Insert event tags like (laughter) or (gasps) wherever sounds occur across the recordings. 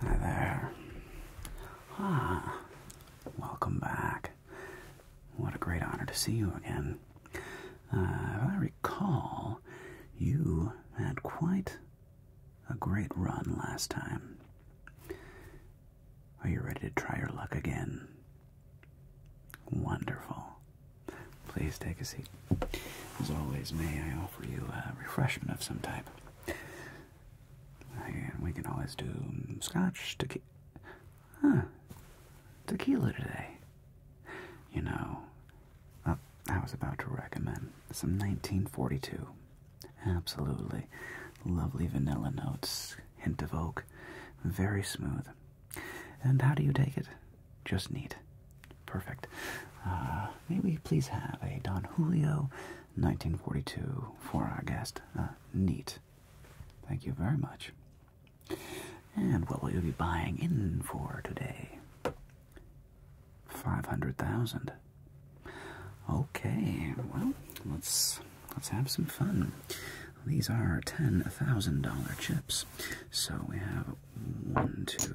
Hi there. Ah, welcome back. What a great honor to see you again. Uh, if I recall, you had quite a great run last time. Are you ready to try your luck again? Wonderful. Please take a seat. As always, may I offer you a refreshment of some type? And we can always do um, scotch, tequila. Huh. Tequila today. You know, uh, I was about to recommend some 1942. Absolutely. Lovely vanilla notes, hint of oak, very smooth. And how do you take it? Just neat. Perfect. Uh, may we please have a Don Julio 1942 for our guest? Uh, neat. Thank you very much. And what will you be buying in for today? 500,000. Okay, well, let's let's have some fun. These are $10,000 chips. So we have one, two,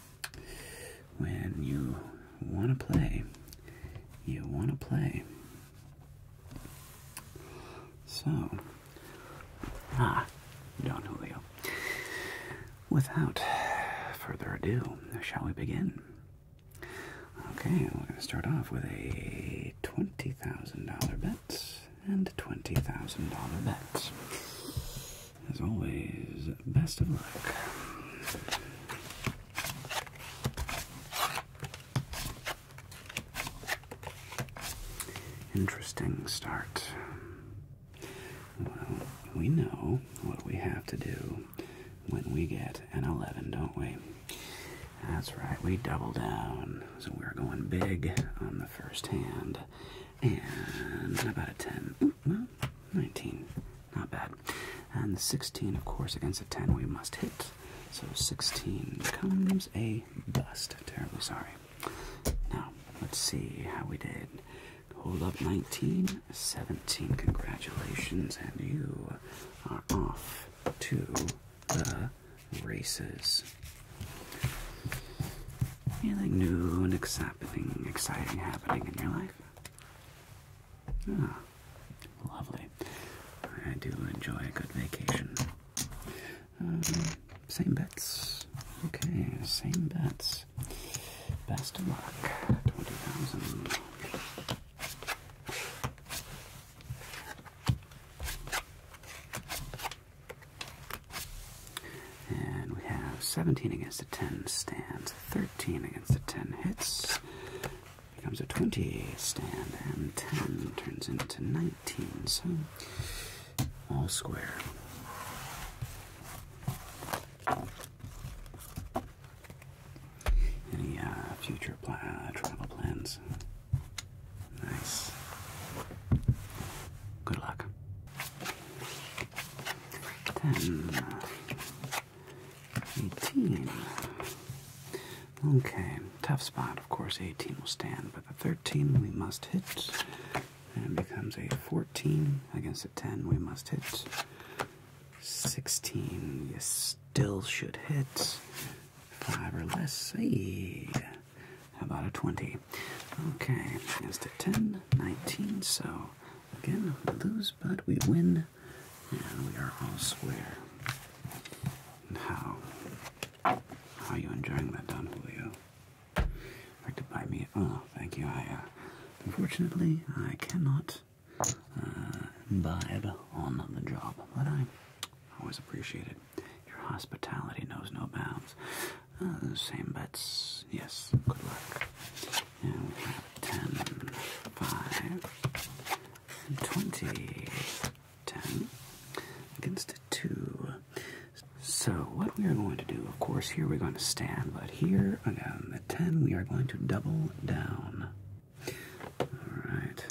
When you want to play, you want to play. So, ah, Don Julio. Without further ado, shall we begin? Okay, we're going to start off with a $20,000 bet and a $20,000 bet. As always, best of luck. Interesting start. Well, we know what we have to do when we get an 11, don't we? That's right, we double down. So we're going big on the first hand. And about a 10. 19. Not bad. And the 16, of course, against a 10 we must hit. So 16 becomes a bust. Terribly sorry. Now, let's see how we did. Hold up 19, 17. Congratulations, and you are off to the races. Anything new and exciting, exciting happening in your life? Ah, lovely. I do enjoy a good vacation. Um, same bets. Okay, same bets. Best of luck. 20,000. And we have 17 against a 10 stand. 13 against the 10 hits. Becomes a 20 stand, and 10 turns into 19, so all square. Any uh, future uh, travel plans? Nice. Good luck. 18. Okay, tough spot. Of course, 18 will stand, but the 13 we must hit. And it becomes a 14 against a 10 we must hit. 16, you still should hit. 5 or less. Hey, how about a 20? Okay, against a 10, 19, so Again, lose, but we win, and we are all square. how? How you enjoying that, Don Julio? Like to buy me? Oh, thank you. I uh, unfortunately I cannot uh, imbibe on the job, but I always appreciate it. Your hospitality knows no bounds. Uh, same bets. Yes. Good luck. Now we have 10, 5, and 20. 10 against a 2. So, what we are going to do, of course, here we're going to stand, but here again, the 10, we are going to double down. Alright,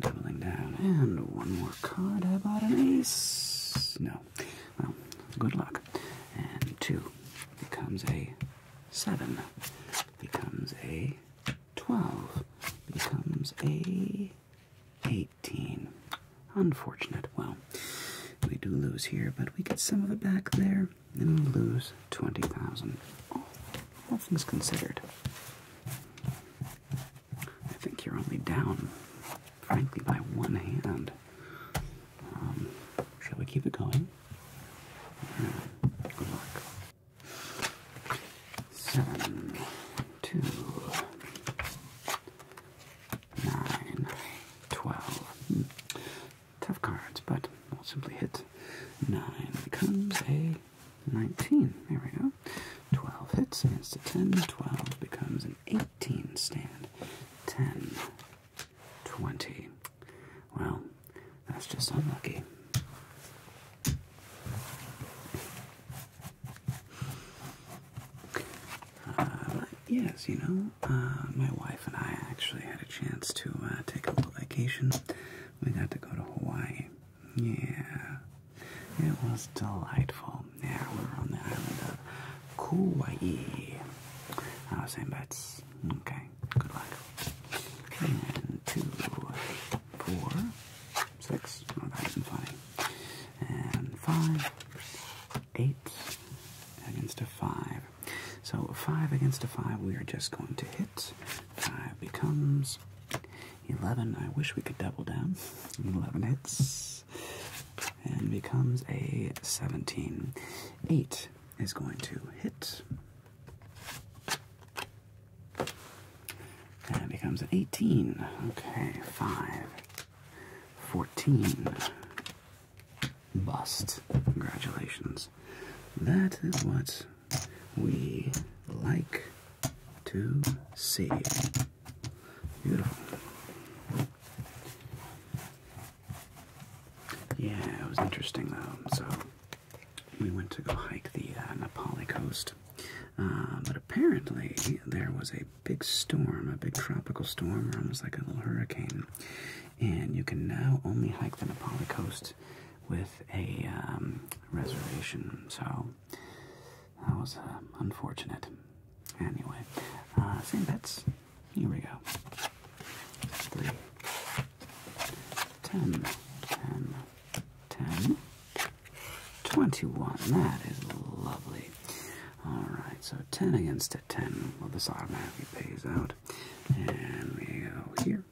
doubling down. And one more card. How about an ace? No. Well, good luck. And 2 becomes a 7 becomes a 12 becomes a 18. Unfortunate. Well, we do lose here, but we get some of it back there, and we lose 20,000. All, all things considered. I think you're only down, frankly, by one hand. Um, shall we keep it going? Good luck. Seven, two, nine, twelve. Hmm. Tough cards, but we'll simply hit nine becomes a nineteen. There we go. Twelve hits against a ten. Twelve becomes an eighteen stand. Ten. 20 well, that's just unlucky. Uh, yes, you know, uh, my wife and I actually had a chance to uh, take a little vacation. We got to go to Hawaii. Yeah, it was delightful. Yeah, we were on the island of Kauai. I was saying that's Okay. Good luck. And two, four, six. Oh, that And five, eight against a five. So five against a five. We are just going to hit. Five becomes eleven. I wish we could double down. Eleven hits. And becomes a 17. 8 is going to hit. And it becomes an 18. Okay, 5. 14. Bust. Congratulations. That is what we like to see. Beautiful. Yeah, it was interesting though. So we went to go hike the uh, Nepali coast, uh, but apparently there was a big storm, a big tropical storm, or almost like a little hurricane, and you can now only hike the Nepali coast with a um, reservation. So that was uh, unfortunate. Anyway, uh, same bets. Here we go. Three. Twenty-one. That is lovely. Alright, so ten against a ten. Well this automatically pays out. And we go here.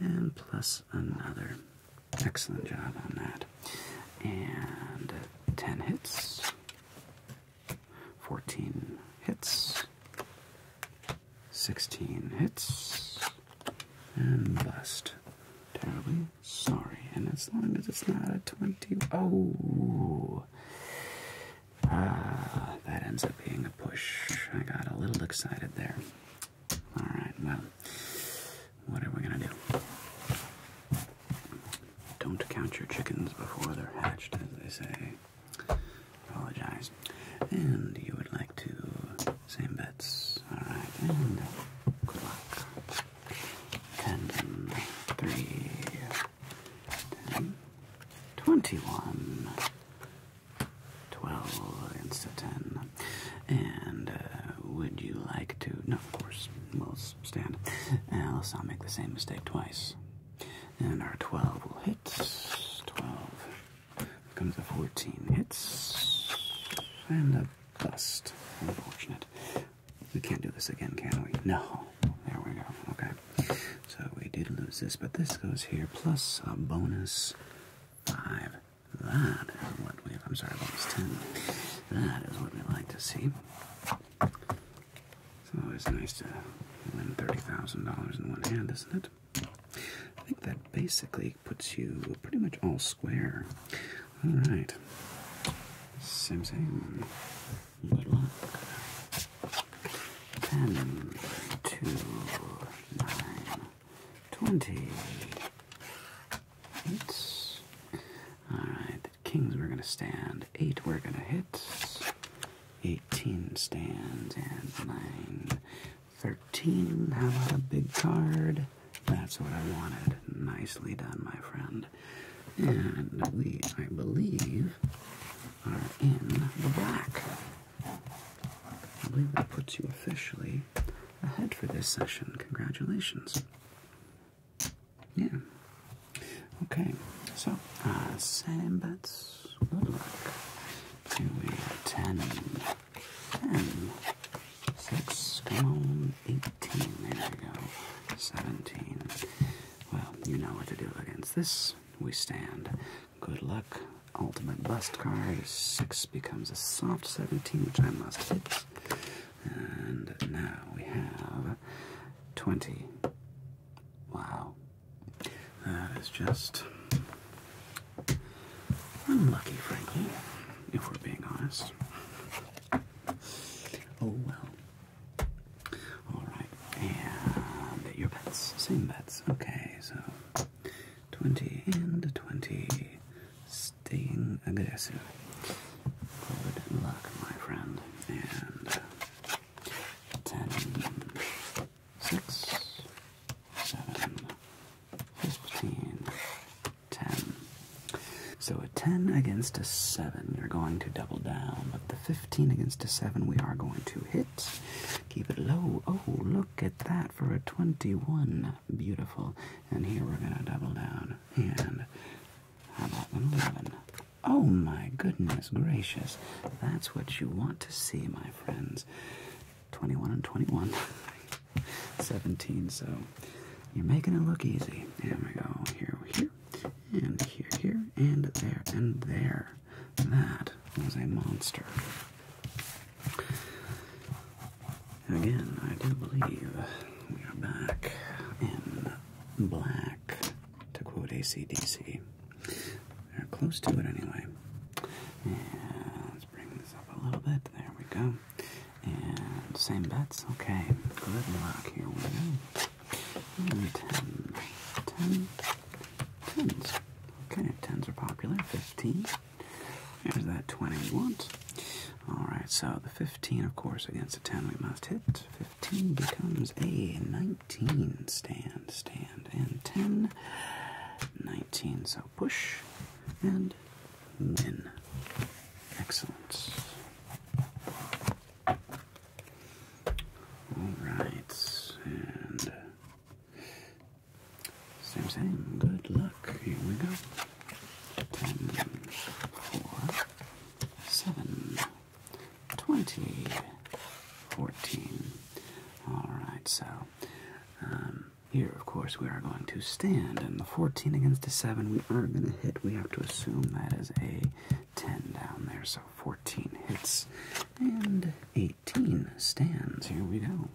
And plus another. Excellent job on that. And uh, ten hits. 14 hits, 16 hits, and bust. Terribly sorry. And as long as it's not a 20. Oh! Ah, that ends up being a push. I got a little excited there. Alright, well, what are we gonna do? Don't count your chickens before they're hatched, as they say. Apologize. And you would like to same bets. Alright, and good Ten, three, ten, twenty-one, twelve instead ten. And uh, would you like to? No, of course. We'll stand. Else I'll make the same mistake twice. And our 12 will hit. 12 comes a 14 hits. And a bust. Unfortunate. We can't do this again, can we? No. There we go. Okay. So we did lose this, but this goes here plus a bonus 5. That is what we, I'm sorry, bonus 10. That is what we like to see. It's always nice to win $30,000 in one hand, isn't it? I think that basically puts you pretty much all square. All right. Same, thing. Good luck. 20. All right, kings, we're going to stand. Eight, we're going to hit. 18 stands and 9. 13. How about a big card? That's what I wanted. Nicely done, my friend. And we, I believe, are in the black. I believe that puts you officially ahead for this session. Congratulations. Yeah. Okay. So, uh, same bets. Good luck. Two, eight, ten. Ten. Six. Eighteen. There we go. Seventeen. Well, you know what to do against this. We stand. Good luck. Ultimate bust card. Six becomes a soft seventeen, which I must hit. And now we have twenty. Wow. That is just unlucky, frankly, if we're being honest. Oh well. Alright, and your bets. Same bets. Okay, so 20 and 20. Staying aggressive. Good luck, my friend. And uh, ten, six, seven, fifteen, ten. So a ten against a seven, you're going to double down. But the fifteen against a seven, we are going to hit. Keep it low. Oh, look at that for a twenty-one. Beautiful. And here we're gonna double down. And how about an eleven? Oh my goodness gracious. That's what you want to see, my friends. 21 and 21. (laughs) 17, so you're making it look easy. There we go. Here, here, and here, here, and there, and there. That was a monster. Again, I do believe we are back in black to quote ACDC. They're close to it anyway. And let's bring this up a little bit. There we go. And same bets. Okay. Good luck. Here we go. And ten. Ten. Tens. Okay. Tens are popular. Fifteen. There's that 20 we want. Alright, so the 15, of course, against the 10 we must hit. 10 becomes a 19. Stand, stand, and 10. 19. So push and win. Excellent. Alright, and same, same. Good luck. Here we go. Ten, four, seven. 2014. Alright, so um, here, of course, we are going to stand, and the 14 against the 7 we aren't going to hit. We have to assume that is a 10 down there, so 14 hits, and 18 stands. Here we go.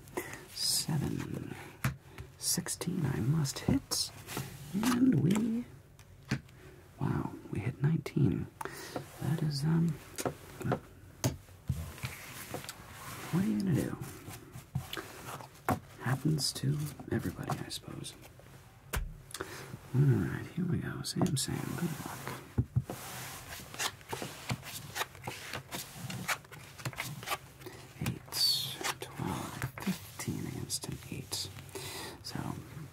7, 16, I must hit, and we Wow, we hit 19. That is, um, what are you gonna do? Happens to everybody, I suppose. Alright, here we go. Sam Sam, good luck. Eight, 12, 15 against an eight. So,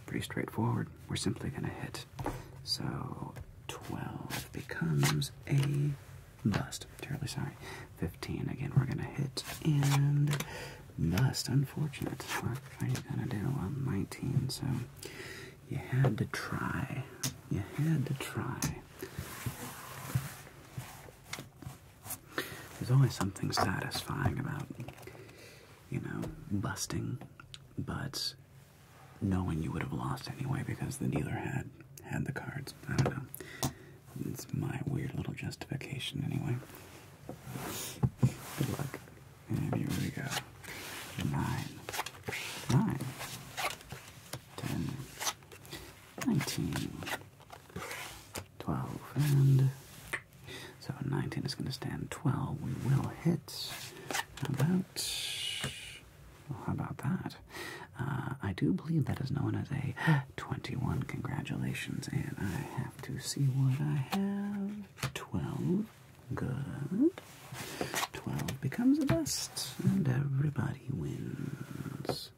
pretty straightforward we're simply going to hit. So 12 becomes a bust. Terribly sorry. 15 again, we're going to hit and bust. Unfortunate. What are you going to do? Well, 19. So you had to try. You had to try. There's always something satisfying about you know, busting, but knowing you would have lost anyway because the dealer had had the cards. I don't know. It's my weird little justification anyway. Good luck. And here we go. Nine. Nine. Ten. Nineteen. Twelve. And so 19 is going to stand 12. We will hit. How about. Well, how about that? Uh, I do believe that is known as a (gasps) 21. Congratulations. And I have to see what I have. 12. Good. 12 becomes the best, and everybody wins.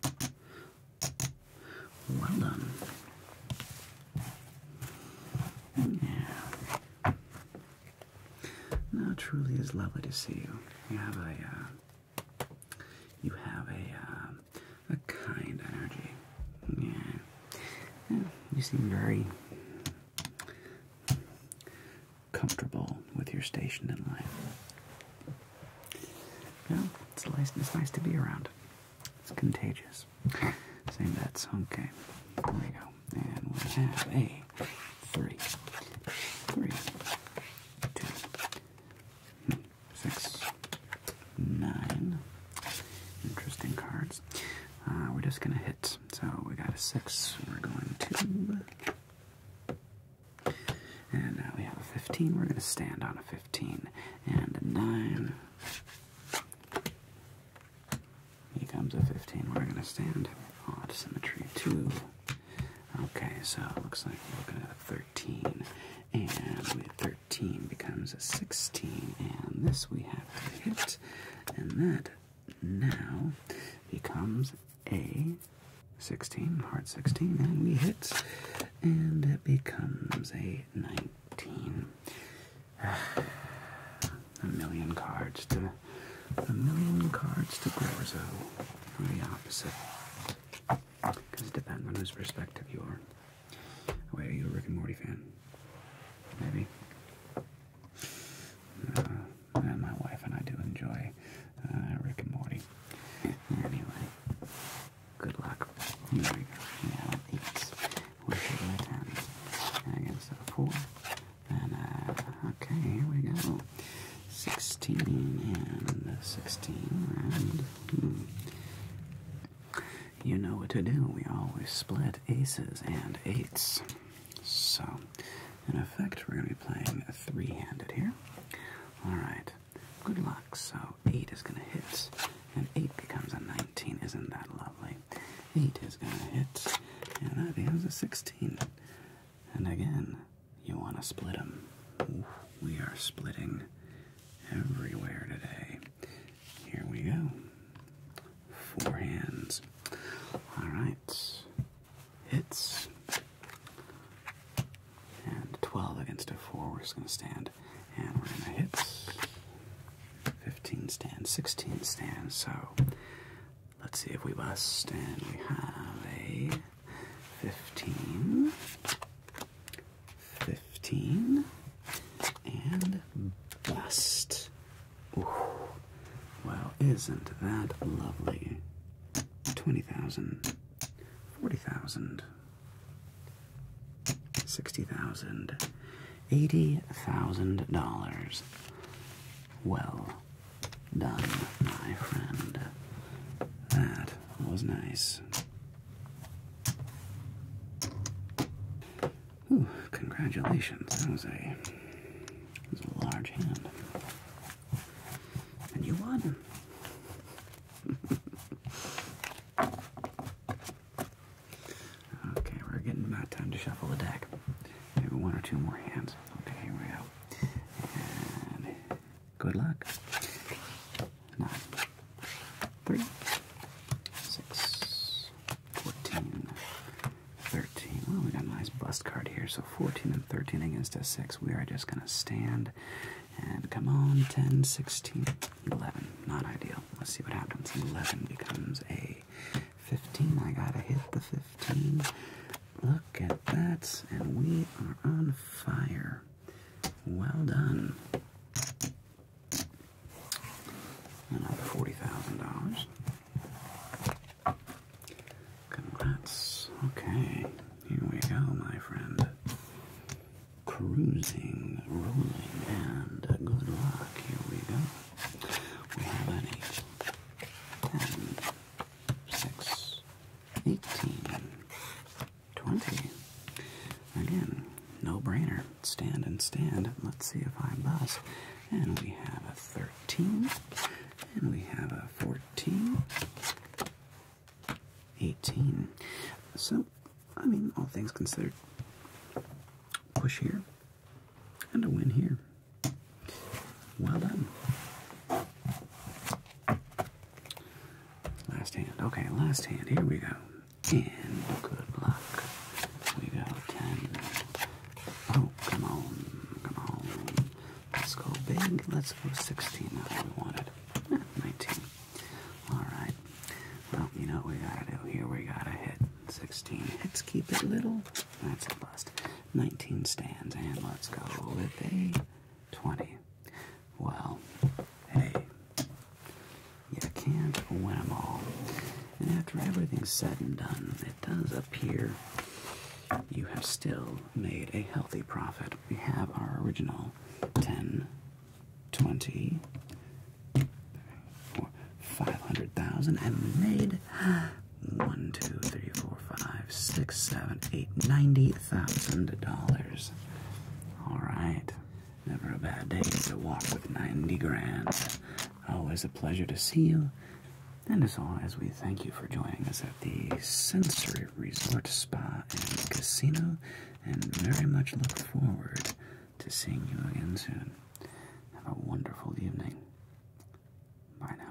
Well done. Yeah. No, it truly is lovely to see you. You have a, uh, you have a, uh, a kind energy. yeah. You seem very comfortable with your station in life. Yeah, it's nice. It's nice to be around. It's contagious. Same bets. Okay. There we go. And we have a three, three, two, six, nine. Interesting cards. Uh, we're just gonna hit. So we got a six. We're going to. And now we have a 15. We're going to stand on a 15. And a 9. Here comes a 15. We're going to stand. Odd symmetry 2. Okay, so it looks like we're looking at a 13. And 13 becomes a 16. And this we have to hit. And that now becomes a 16. Hard 16. And we hit. And it becomes a 19 a million cards to a million cards to Grorzo, or the opposite. Because it depends on whose perspective you are. Oh, wait, are you a Rick and Morty fan? Maybe. Uh, and my wife and I do enjoy uh, Rick and Morty. Anyway, good luck. One should go four. okay, here we go. 16 and 16, you know what to do. We always split aces and eights. So, in effect, we're going to be playing three handed here. Alright, good luck. So, 8 is going to hit, and 8 becomes a 9. 17. Isn't that lovely? 8 is going to hit, and that becomes a 16. And again, you want to split them. we are splitting everywhere today. Here we go. Four hands. Alright. Hits. And 12 against a 4. We're just going to stand and we're gonna hit 15 stand, 16 stand. So let's see if we bust. And we have a 15, 15, and bust. Well, isn't that lovely? 20,000, 40,000. Sixty thousand, eighty thousand dollars. Well done, my friend. That was nice. congratulations. That was a was a large hand. And you won. (laughs) Okay, we're getting about time to shuffle the deck. Maybe one or two more hands. Okay, here we go. And good luck. Nine, three, six, 13. Well, we got a nice bust card here. So 14 and 13 against a 6. We are just going to stand. And come on, 10, 16. 11, not ideal. Let's see what happens. 11 becomes a 15. I gotta hit the 15. Look at that, and we are on fire. Well done. $40,000. Congrats. Okay, here we go, my friend cruising, rolling, and good luck. Here we go. We have an 8, 10, 6, 18, 20. Again, no brainer. Stand and stand. Let's see if I bust. And we have a 13, and we have a 14, 18. So I mean, all things considered, push here and a win here. Well done. Last hand. Okay, last hand. Here we go. And good luck. We go 10. Oh, come on. Come on. Let's go big. Let's go 16. That's what we wanted. Eh, 19. All right. Well, you know what we gotta do here. We gotta hit 16 let Let's Keep it little. That's a bust. 19 stands, and let's go with a 20. Well, hey, you can't win them all. And after everything's said and done, it does appear you have still made a healthy profit. We have our original 10 twenty four five hundred thousand and we made one, two, three, four, five, six, seven, eight, ninety thousand dollars. Alright. Never a bad day to walk with ninety grand. Always a pleasure to see you. And as always, we thank you for joining us at the Sensory Resort Spa and Casino and very much look forward to seeing you again soon. Have a wonderful evening. Bye now.